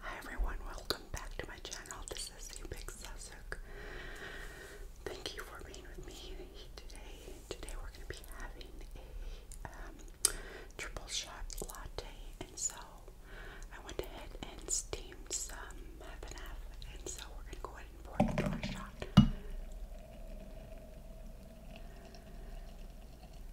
Hi everyone, welcome back to my channel. This is Big Susuk. Thank you for being with me today. Today we're going to be having a um, triple shot latte, and so I went ahead and steamed some half and half, and so we're going to go ahead and pour it into our shot.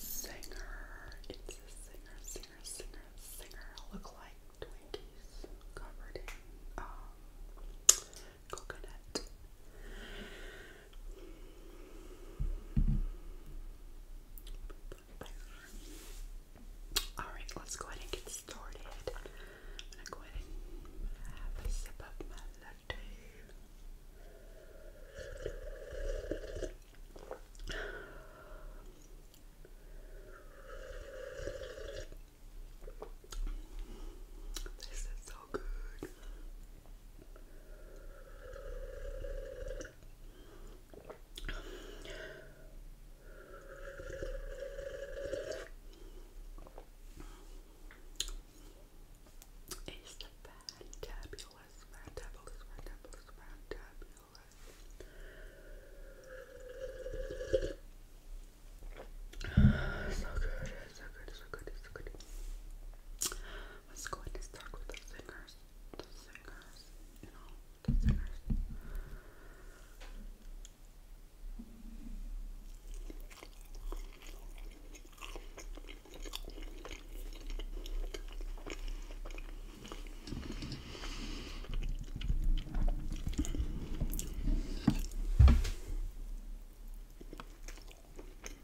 Singer, it's a singer, singer, singer, singer. Look like Twinkies covered in um, coconut. Alright, let's go ahead and get started. I'm go ahead and have a sip of my latte. This is so good. It's the fantabulous, fantabulous, fantabulous, So good, so good, so good, so good. Let's go ahead and start with the singers. The singers, you know, the singers.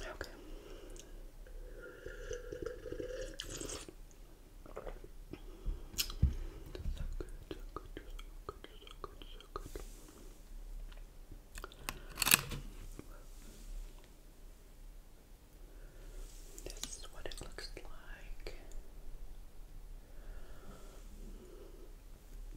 Okay. So good, so good, so good, so good, so good. This is what it looks like.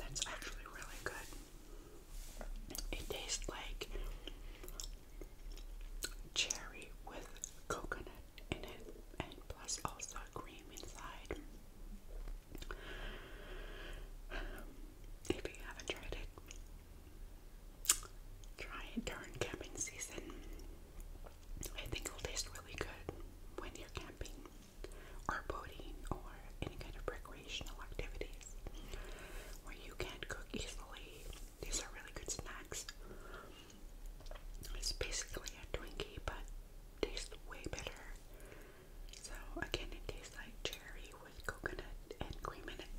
That's actually really good. It tastes like cherry with coconut in it, and plus also cream inside. If you haven't tried it, try it during camping season. I think it'll taste really good when you're camping or boating or any kind of recreational activities where you can cook easily. These are really good snacks. It's basically a Twinkie but tastes way better. So again it tastes like cherry with coconut and cream in it.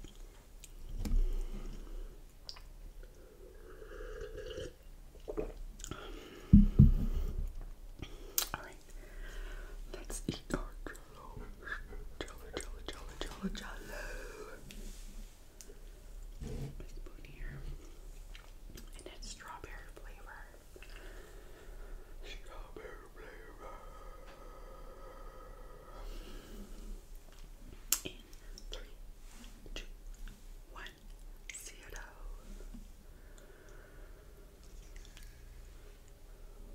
Alright, let's eat our Jello, jello, jello, jello, Strawberry flavor. In three, two, one, zero.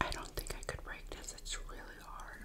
I don't think I could break this, it's really hard.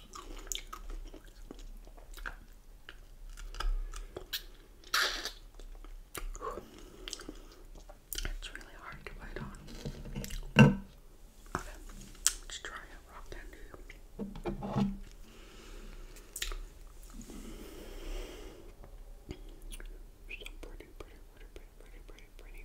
It's really hard to bite on. Okay, let's try a rock candy. So pretty, pretty, pretty, pretty, pretty, pretty, pretty.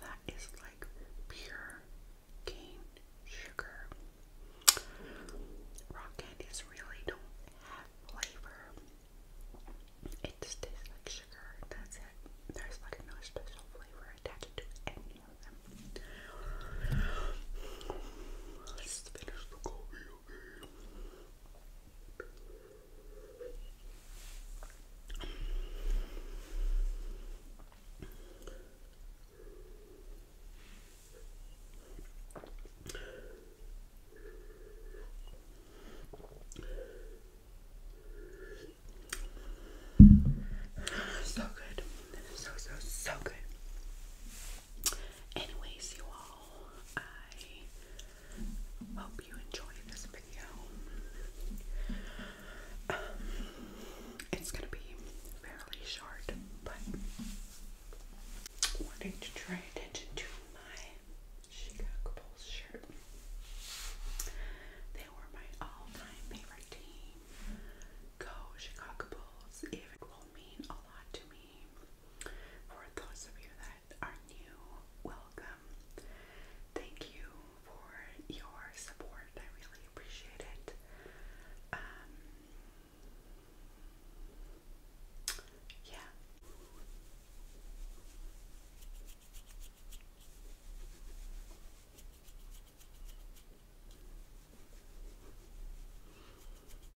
That is like pure cane sugar. Rock candies really don't have flavor. It just tastes like sugar. That's it. There's like no special flavor attached to any of them. Let's finish the coffee. So good. So so so good. Anyways, you all, I hope you enjoy this video. Um, it's gonna be fairly short, but wanting to draw attention to my Chicago Bulls shirt. They were my all-time favorite team. Go Chicago Bulls! it will mean a lot to me. For those of you that are new, welcome. Thank you for your support. I really appreciate it. Um, yeah.